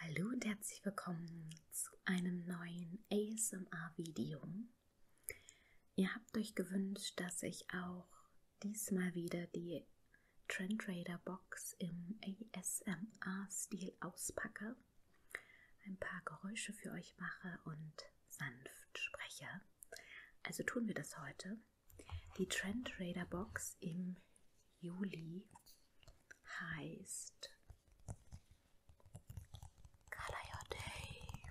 Hallo und herzlich willkommen zu einem neuen ASMR-Video. Ihr habt euch gewünscht, dass ich auch diesmal wieder die Trendrader Box im ASMR-Stil auspacke, ein paar Geräusche für euch mache und sanft spreche. Also tun wir das heute. Die Trendrader Box im Juli Heist. Color Your Day.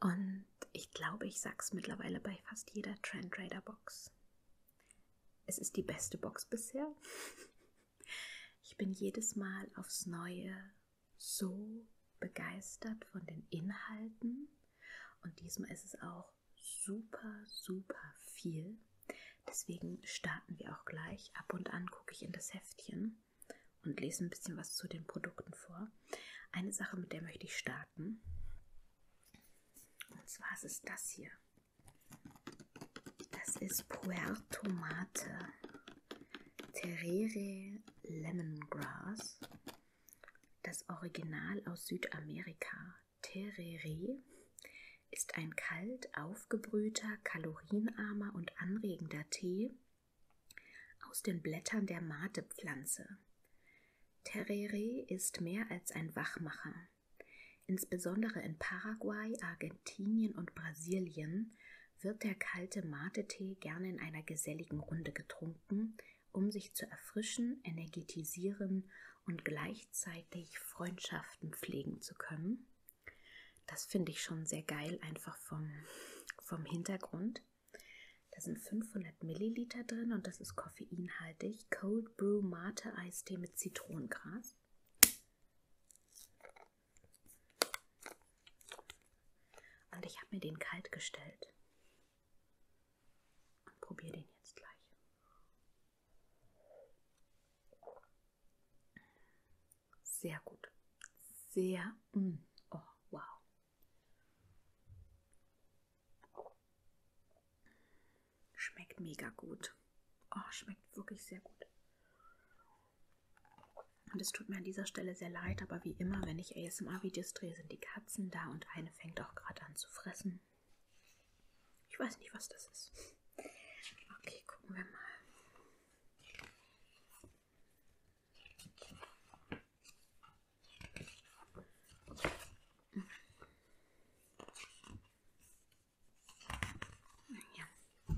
Und Und ich glaube, ich sage es mittlerweile bei fast jeder Trendrader Box. Es ist die beste Box bisher. Ich bin jedes Mal aufs Neue so begeistert von den Inhalten. Und diesmal ist es auch super, super viel. Deswegen starten wir auch gleich. Ab und an gucke ich in das Heftchen und lese ein bisschen was zu den Produkten vor. Eine Sache, mit der möchte ich starten. Und zwar ist es das hier. Das ist Puerto Mate. Terere Lemongrass. Das Original aus Südamerika, Terere, ist ein kalt aufgebrühter, kalorienarmer und anregender Tee aus den Blättern der Matepflanze. Terere ist mehr als ein Wachmacher. Insbesondere in Paraguay, Argentinien und Brasilien wird der kalte Mate-Tee gerne in einer geselligen Runde getrunken, um sich zu erfrischen, energetisieren und gleichzeitig Freundschaften pflegen zu können. Das finde ich schon sehr geil, einfach vom, vom Hintergrund. Da sind 500 Milliliter drin und das ist koffeinhaltig. Cold Brew Mate Eistee mit Zitronengras. Und ich habe mir den kalt gestellt. Und probiere den jetzt gleich. Sehr gut. Sehr. Mm, oh, wow. Schmeckt mega gut. Oh, schmeckt wirklich sehr gut. Und es tut mir an dieser Stelle sehr leid, aber wie immer, wenn ich ASMR-Videos drehe, sind die Katzen da und eine fängt auch gerade an zu fressen. Ich weiß nicht, was das ist. Okay, gucken wir mal. Ja.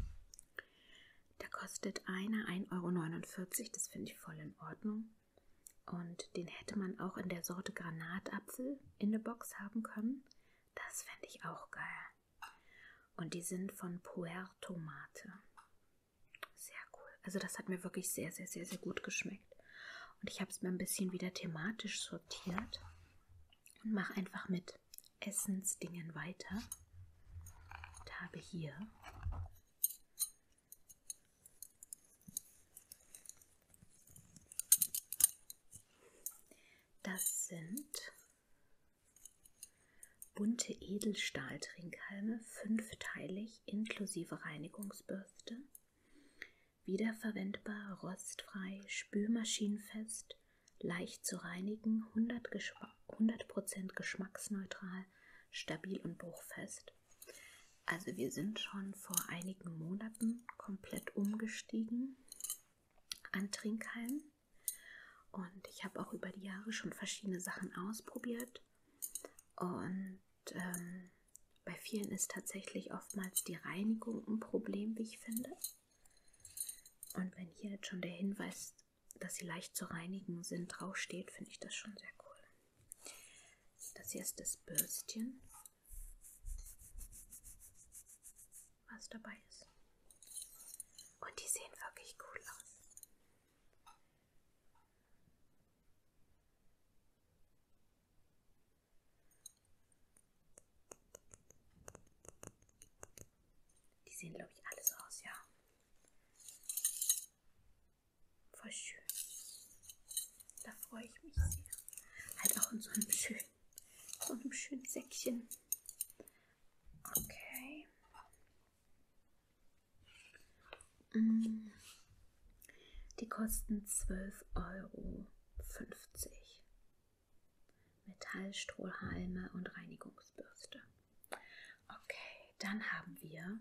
Da kostet einer 1,49 Euro, das finde ich voll in Ordnung. Und den hätte man auch in der Sorte Granatapfel in der Box haben können. Das fände ich auch geil. Und die sind von Puerto Mate. Sehr cool. Also das hat mir wirklich sehr, sehr, sehr, sehr gut geschmeckt gezeigt. Und ich habe es mir ein bisschen wieder thematisch sortiert und mache einfach mit Essensdingen weiter. Und habe hier Das sind bunte Edelstahltrinkhalme, fünfteilig inklusive Reinigungsbürste wiederverwendbar, rostfrei, spülmaschinenfest, leicht zu reinigen, 100%, Geschma 100 geschmacksneutral, stabil und bruchfest. Also wir sind schon vor einigen Monaten komplett umgestiegen an Trinkhalm. Und ich habe auch über die Jahre schon verschiedene Sachen ausprobiert. Und ähm, bei vielen ist tatsächlich oftmals die Reinigung ein Problem, wie ich finde. Und wenn hier jetzt schon der Hinweis, dass sie leicht zu reinigen sind, draufsteht, finde ich das schon sehr cool. Das hier ist das Bürstchen, was dabei ist. Und die sehen wirklich cool aus. Die sehen, glaube ich, alles aus, ja. Voll schön. Da freue ich mich sehr. Halt auch in so einem schönen, so einem schönen Säckchen. Okay. Mm. Die kosten 12,50 Euro. Metallstrohhalme und Reinigungsbürste. Okay, dann haben wir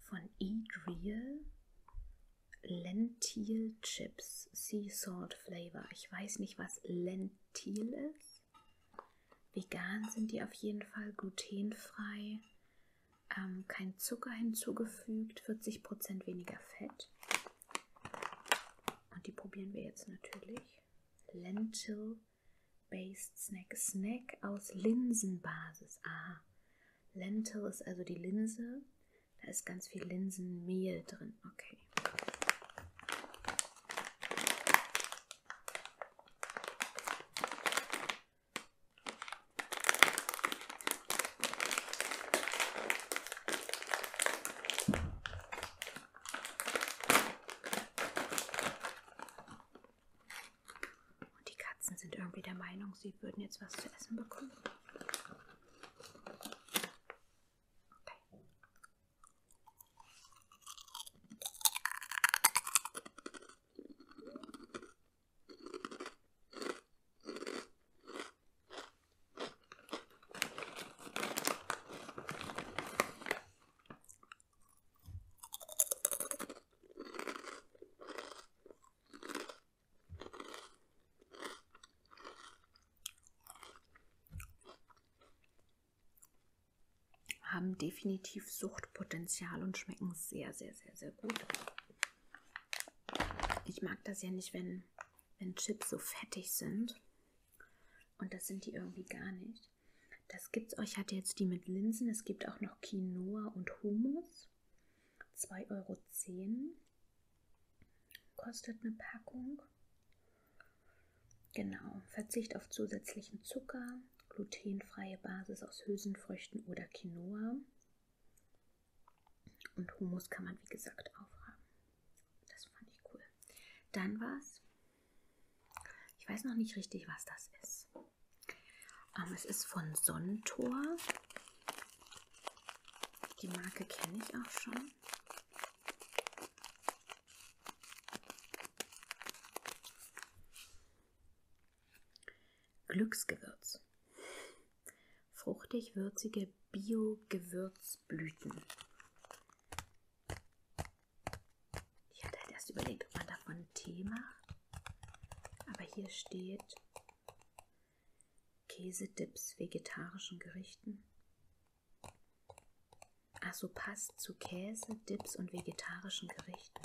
von Eat Real Lentil Chips Sea Salt Flavor. Ich weiß nicht, was Lentil ist. Vegan sind die auf jeden Fall, glutenfrei, ähm, kein Zucker hinzugefügt, 40% weniger Fett. Und die probieren wir jetzt natürlich. Lentil Based Snack. Snack aus Linsenbasis. Aha. Lentil ist also die Linse. Da ist ganz viel Linsenmehl drin. Okay. Und die Katzen sind irgendwie der Meinung, sie würden jetzt was zu essen bekommen. Okay haben definitiv Suchtpotenzial und schmecken sehr, sehr, sehr, sehr gut. Ich mag das ja nicht, wenn, wenn Chips so fettig sind. Und das sind die irgendwie gar nicht. Das gibt's auch. Ich hatte jetzt die mit Linsen. Es gibt auch noch Quinoa und Hummus. 2,10 Euro kostet eine Packung. Genau, Verzicht auf zusätzlichen Zucker, glutenfreie Basis aus Hülsenfrüchten oder Quinoa. Und Hummus kann man wie gesagt aufhaben. Das fand ich cool. Dann was? Ich weiß noch nicht richtig, was das ist. Ähm, es ist von Sontor. Die Marke kenne ich auch schon. Glücksgewürz. Fruchtig-würzige Bio-Gewürzblüten. Ich hatte halt erst überlegt, ob man davon Tee macht. Aber hier steht Käsedips vegetarischen Gerichten? Also passt zu Käse, Dips und vegetarischen Gerichten.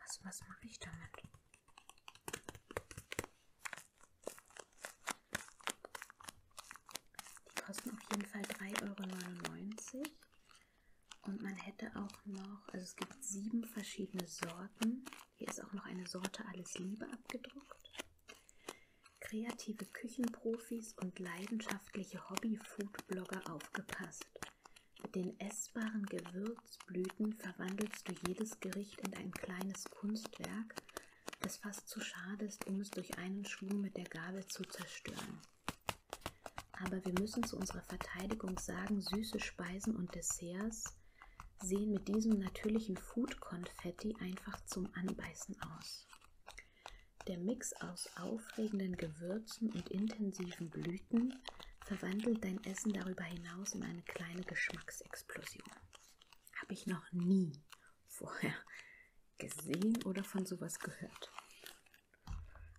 Was, was mache ich damit? Die kosten auf jeden Fall 3,99 Euro. Und man hätte auch noch, also es gibt sieben verschiedene Sorten. Hier ist auch noch eine Sorte Alles Liebe abgedruckt. Kreative Küchenprofis und leidenschaftliche Hobby-Food-Blogger aufgepasst. Mit den essbaren Gewürzblüten verwandelst du jedes Gericht in ein kleines Kunstwerk, das fast zu schade ist, um es durch einen Schwung mit der Gabel zu zerstören. Aber wir müssen zu unserer Verteidigung sagen, süße Speisen und Desserts sehen mit diesem natürlichen Food-Konfetti einfach zum Anbeißen aus. Der Mix aus aufregenden Gewürzen und intensiven Blüten verwandelt dein Essen darüber hinaus in eine kleine Geschmacksexplosion. Habe ich noch nie vorher gesehen oder von sowas gehört.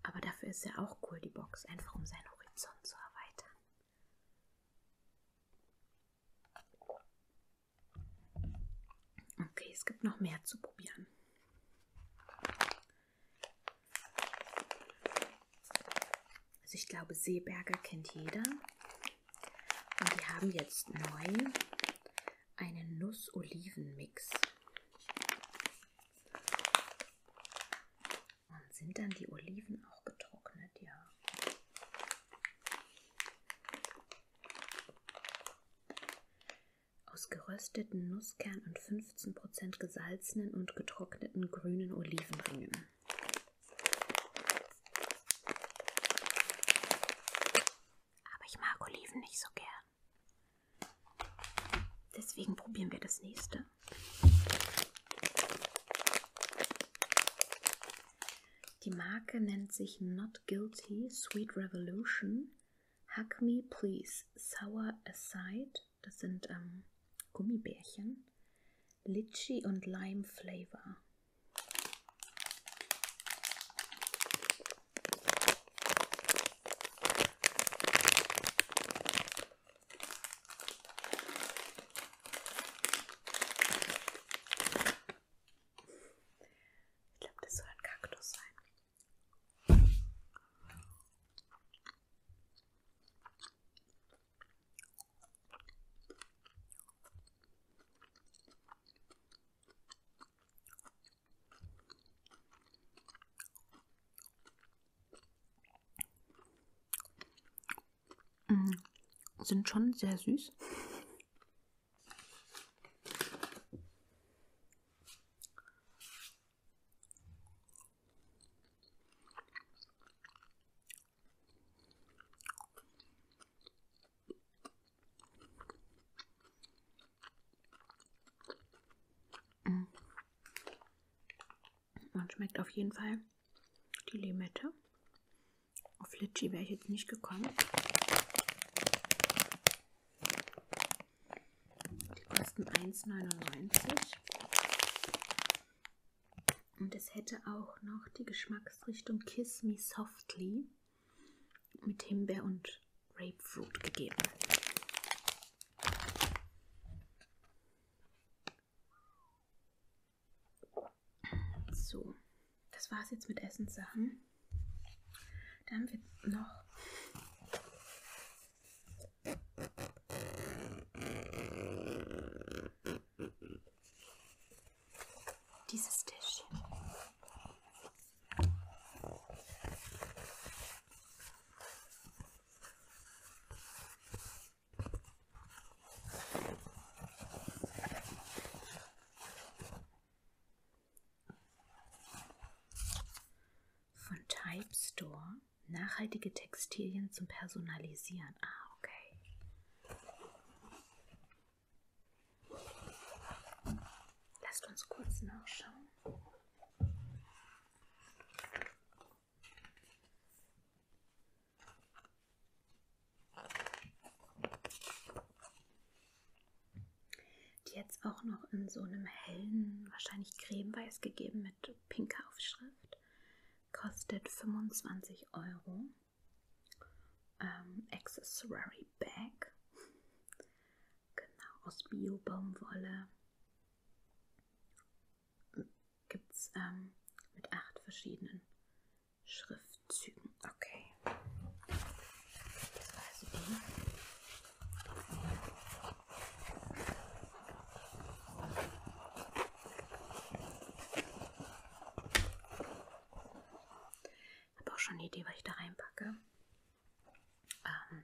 Aber dafür ist ja auch cool, die Box, einfach um seinen Horizont zu erweitern. Okay, es gibt noch mehr zu probieren. Also ich glaube, Seeberger kennt jeder. Und die haben jetzt neu einen Nuss-Oliven-Mix. Und sind dann die Oliven auch getrocknet? Ja. Aus gerösteten Nusskern und 15% gesalzenen und getrockneten grünen Olivenringen. Aber ich mag Oliven nicht so gern. Deswegen probieren wir das nächste. Die Marke nennt sich Not Guilty Sweet Revolution. Hack Me Please Sour Aside. Das sind ähm, Gummibärchen. Litchi und Lime Flavor. Ich glaube, das soll ein Kaktus sein. Mm, sind schon sehr süß. Mm. Man schmeckt auf jeden Fall die Limette. Auf Litschi wäre ich jetzt nicht gekommen. Die kosten 1,99. Und es hätte auch noch die Geschmacksrichtung Kiss Me Softly mit Himbeer und Grapefruit gegeben. So, das war's jetzt mit Essenssachen. Dann wird noch dieses Tischchen. Von Type Store nachhaltige Textilien zum Personalisieren. Ah, okay. Lasst uns kurz nachschauen. Die jetzt auch noch in so einem hellen, wahrscheinlich cremeweiß gegeben mit pinker Aufschrift. Kostet 25 Euro. Ähm, Accessory Bag. Genau, aus Bio-Baumwolle. Gibt es ähm, mit acht verschiedenen Schriftzügen. Okay. Das war also die. Ich habe auch schon eine Idee, was ich da reinpacke. Ähm,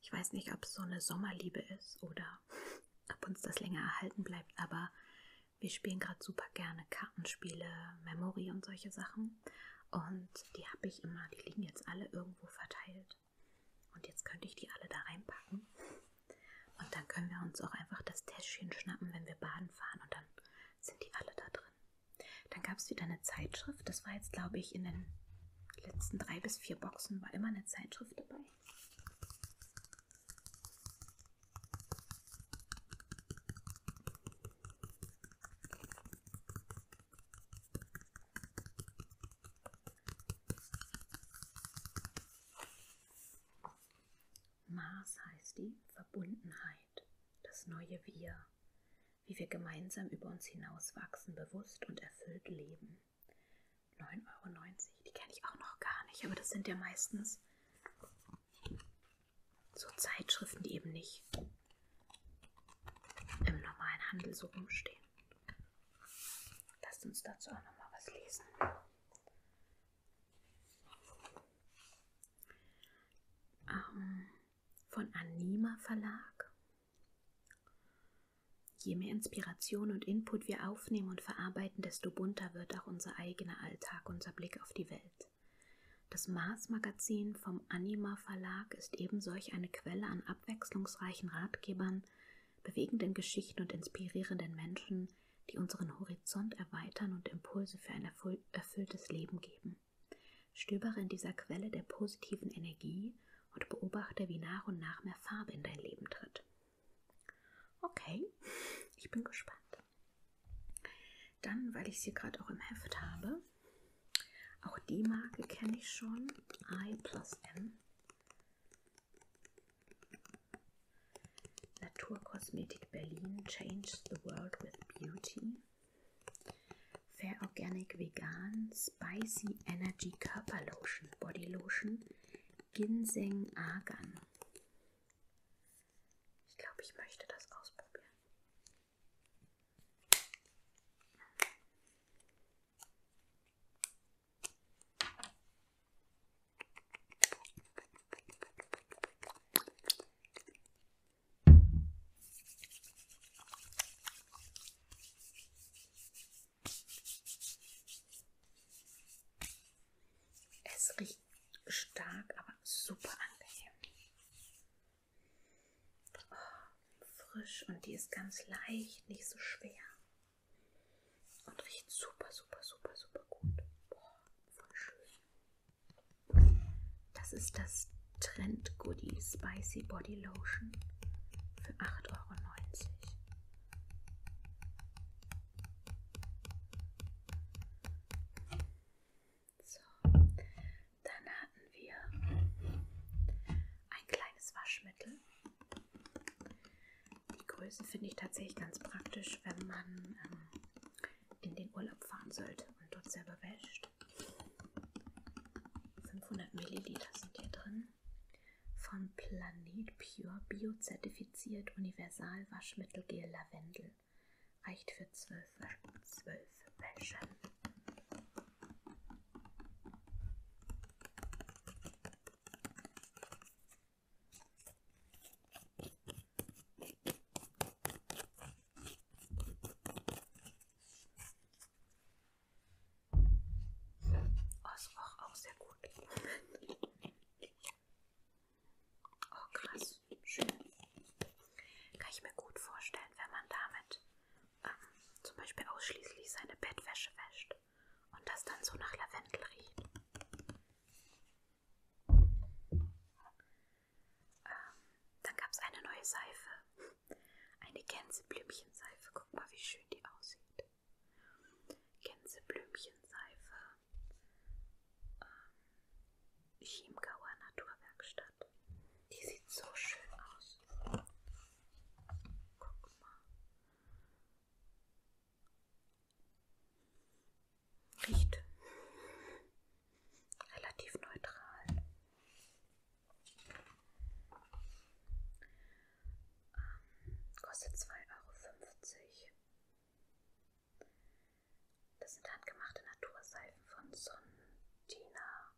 ich weiß nicht, ob es so eine Sommerliebe ist oder ob uns das länger erhalten bleibt, aber wir spielen gerade super gerne Kartenspiele, Memory und solche Sachen. Und die habe ich immer, die liegen jetzt alle irgendwo verteilt. Und jetzt könnte ich die alle da reinpacken. Und dann können wir uns auch einfach das Täschchen schnappen, wenn wir baden fahren. Und dann sind die alle da drin. Dann gab es wieder eine Zeitschrift. Das war jetzt, glaube ich, in den letzten drei bis vier Boxen war immer eine Zeitschrift dabei. Mars heißt die Verbundenheit, das neue Wir, wie wir gemeinsam über uns hinauswachsen, bewusst und erfüllt leben. 9,90 Euro, die kenne ich auch noch gar nicht, aber das sind ja meistens so Zeitschriften, die eben nicht im normalen Handel so rumstehen. Lasst uns dazu auch nochmal was lesen. Ähm, von Anima Verlag. Je mehr Inspiration und Input wir aufnehmen und verarbeiten, desto bunter wird auch unser eigener Alltag, unser Blick Blick auf die Welt. Das Mars-Magazin vom Anima Verlag ist eben solch eine Quelle an abwechslungsreichen Ratgebern, bewegenden Geschichten und inspirierenden Menschen, die unseren Horizont erweitern und Impulse für ein erfülltes Leben geben. Stöbere in dieser Quelle der positiven Energie und beobachte, wie nach und nach mehr Farbe in dein Leben tritt. Okay, ich bin gespannt. Dann, weil ich sie gerade auch im Heft habe, auch die Marke kenne ich schon, I plus N. Naturkosmetik Berlin Changes the World with Beauty. Fair Organic Vegan Spicy Energy Körperlotion Body Lotion Ginseng Argan. Ich glaube, ich möchte das ausprobieren. Es riecht nicht stark, aber super angenehm. Oh, frisch und die ist ganz leicht, nicht so schwer. Und riecht super, super, super, super gut. Boah, voll schön. Das ist das Trend Goodie Spicy Body Lotion für 8,90 Euro. So, dann hatten wir ein kleines Waschmittel. Die Größe finde ich tatsächlich ganz praktisch, wenn man ähm, in den Urlaub fahren sollte und dort selber wäscht. 500 Milliliter sind hier drin. Von Planet Pure Bio zertifiziert Universal Waschmittel Gel Lavendel. Reicht für zwölf, zwölf Wäschen. Oh, es roch auch sehr gut. Oh krass, schön. Kann ich mir gut vorstellen, wenn man damit ähm, zum Beispiel ausschließlich seine Bettwäsche wäscht und das dann so nach Lavendel riecht. Ähm, dann gab es eine neue Seife. Eine Gänseblümchenseife. Guck mal, wie schön die aussieht. Gänseblümchenseife ähm, Chiemgauer Naturwerkstatt. Die sieht so schön aus. Guck mal. Riecht relativ neutral. Ähm, kostet 2,50 Euro. Das sind handgemachte Naturseifen von Sontina.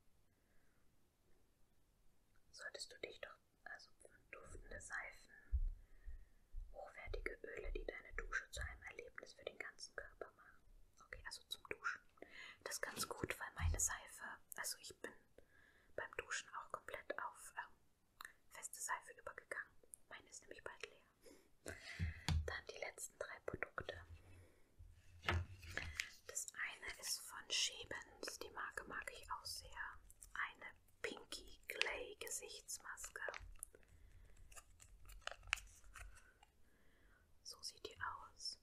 Solltest du dich doch, also duftende Seifen, hochwertige Öle, die deine Dusche zu einem Erlebnis für den ganzen Körper machen. Okay, also zum Duschen. Das ist ganz gut, weil meine Seife, also ich bin beim Duschen auch komplett auf ähm, feste Seife übergegangen. Meine ist nämlich bald leer. Dann die letzten drei Produkte. Das eine ist von Schebens, die Marke mag ich auch sehr. Eine Pinky Clay Gesichtsmaske. So sieht die aus.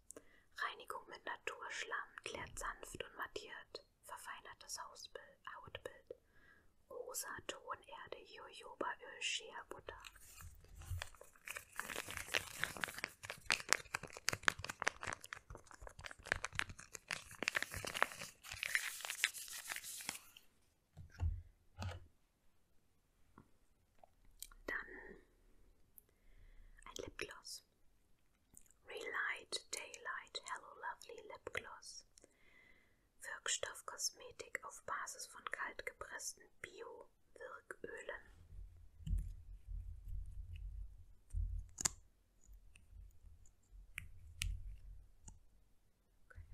Reinigung mit Naturschlamm klärt sanft und mattiert, verfeinert das Hautbild rosa Tonerde Jojobaöl Scherbutter. lip gloss. Lipgloss. Relight Daylight Hello Lovely lip gloss. Wirkstoffkosmetik auf Basis von kaltgepressten Bio-Wirkölen.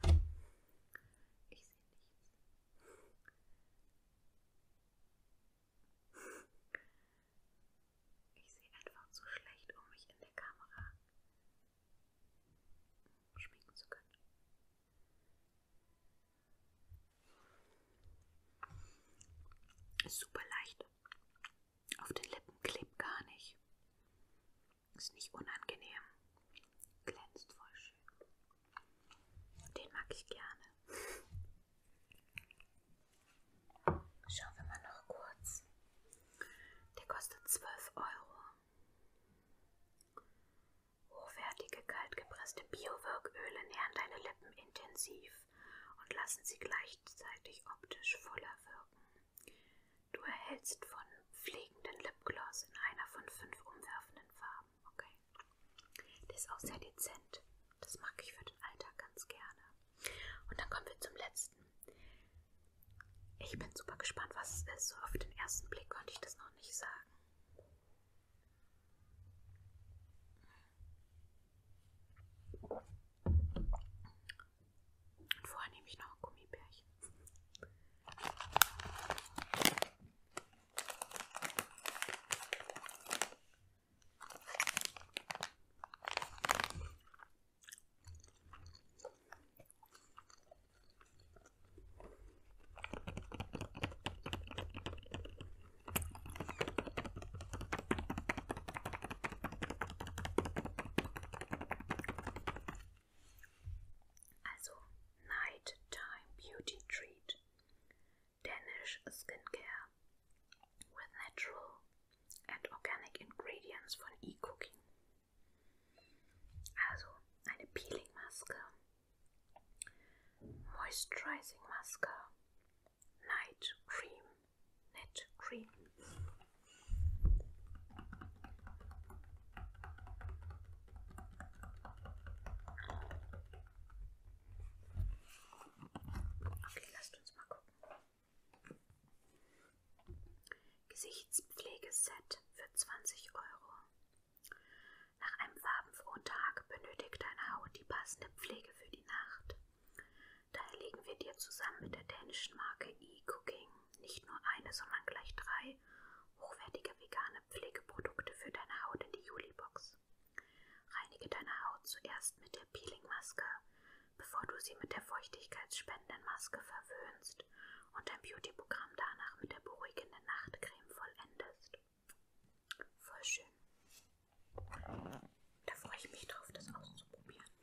Okay. Ich sehe nichts. Ich sehe einfach zu schlecht, um mich in der Kamera schminken zu können. Ist super leicht. Auf den Lippen klebt gar nicht. Ist nicht unangenehm. Glänzt voll schön. Den mag ich gerne. Schauen wir mal noch kurz. Der kostet 12 Euro. Hochwertige, kaltgepresste Biowirköle nähren deine Lippen intensiv und lassen sie gleichzeitig optisch voller wirken. Du erhältst von pflegenden Lipgloss in einer von fünf umwerfenden Farben. Okay. Der ist auch sehr dezent. Das mag ich für den Alltag ganz gerne. Und dann kommen wir zum letzten. Ich bin super gespannt, was es ist. So auf den ersten Blick konnte ich das noch nicht sagen. Und vorher nehme ich noch ein Gummibärchen. Also nighttime beauty treat, Danish skincare with natural and organic ingredients von e Also eine Peeling-Maske Moisturizing Maske, Night Cream, Net Cream. Okay, lasst uns mal gucken. Gesichtspflegeset für 20 Euro. Nach einem farbenfrohen Tag benötigt deine Haut die passende Pflege für die Nacht. Daher legen wir dir zusammen mit der dänischen Marke eCooking nicht nur eine, sondern gleich drei hochwertige vegane Pflegeprodukte für deine Haut in die Juli-Box. Reinige deine Haut zuerst mit der Peeling-Maske, bevor du sie mit der feuchtigkeitsspendenden Maske verwöhnst und dein Beauty-Programm danach mit der beruhigenden Nachtcreme vollendest. Voll schön. Da freue ich mich drauf, das auszuprobieren.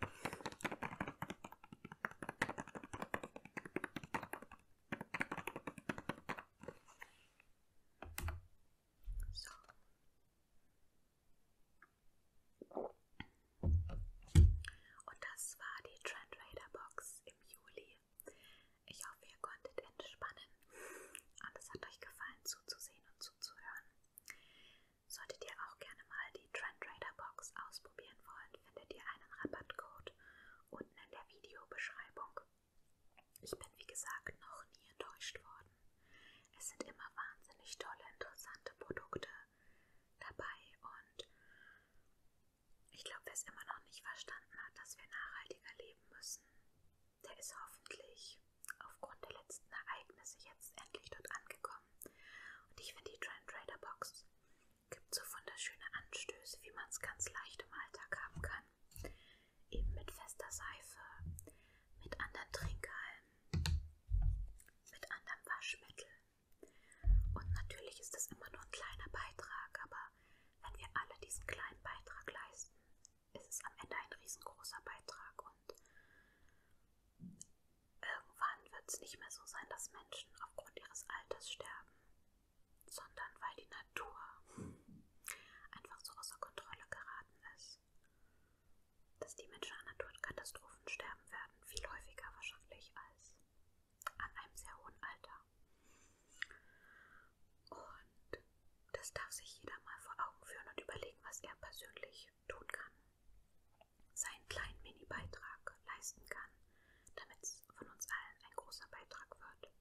So. Und das war die Trend Raider Box im Juli. Ich hoffe, ihr konntet entspannen und es hat euch gefallen zuzusehen und zuzuhören. Solltet ihr auch gerne mal die Trendrader Box ausprobieren wollen, findet ihr einen Rabattcode unten in der Videobeschreibung. Ich bin wie gesagt noch nie enttäuscht worden. Es sind immer wahnsinnig tolle, interessante Produkte dabei und ich glaube, wer es immer noch nicht verstanden hat, dass wir nachhaltiger leben müssen, der ist hoffentlich aufgrund der letzten Ereignisse jetzt endlich dort angekommen. Und ich finde, die Trend Trader Box gibt so wunderschöne Anstöße, wie man es ganz leicht im Alltag haben kann. Eben mit fester Seife, mit anderen Trinkhalmen, mit anderem Waschmittel. Und natürlich ist das immer nur ein kleiner Beitrag, aber wenn wir alle diesen kleinen Beitrag leisten, ist es am Ende ein riesengroßer Beitrag und irgendwann wird es nicht mehr so sein, dass Menschen aufgrund ihres Alters sterben, sondern weil die Natur einfach so außer Kontrolle geraten ist, dass die Menschen an Naturkatastrophen sterben werden, viel häufiger wahrscheinlich als an einem sehr hohen Alter. Und das darf sich jeder mal vor Augen führen und überlegen, was er persönlich tun kann. Seinen kleinen Mini-Beitrag leisten kann, damit es von uns allen ein großer Beitrag wird.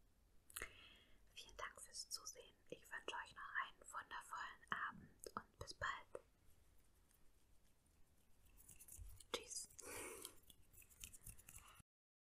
Vielen Dank fürs Zusehen. Ich wünsche euch noch einen wundervollen Abend und bis bald. Tschüss.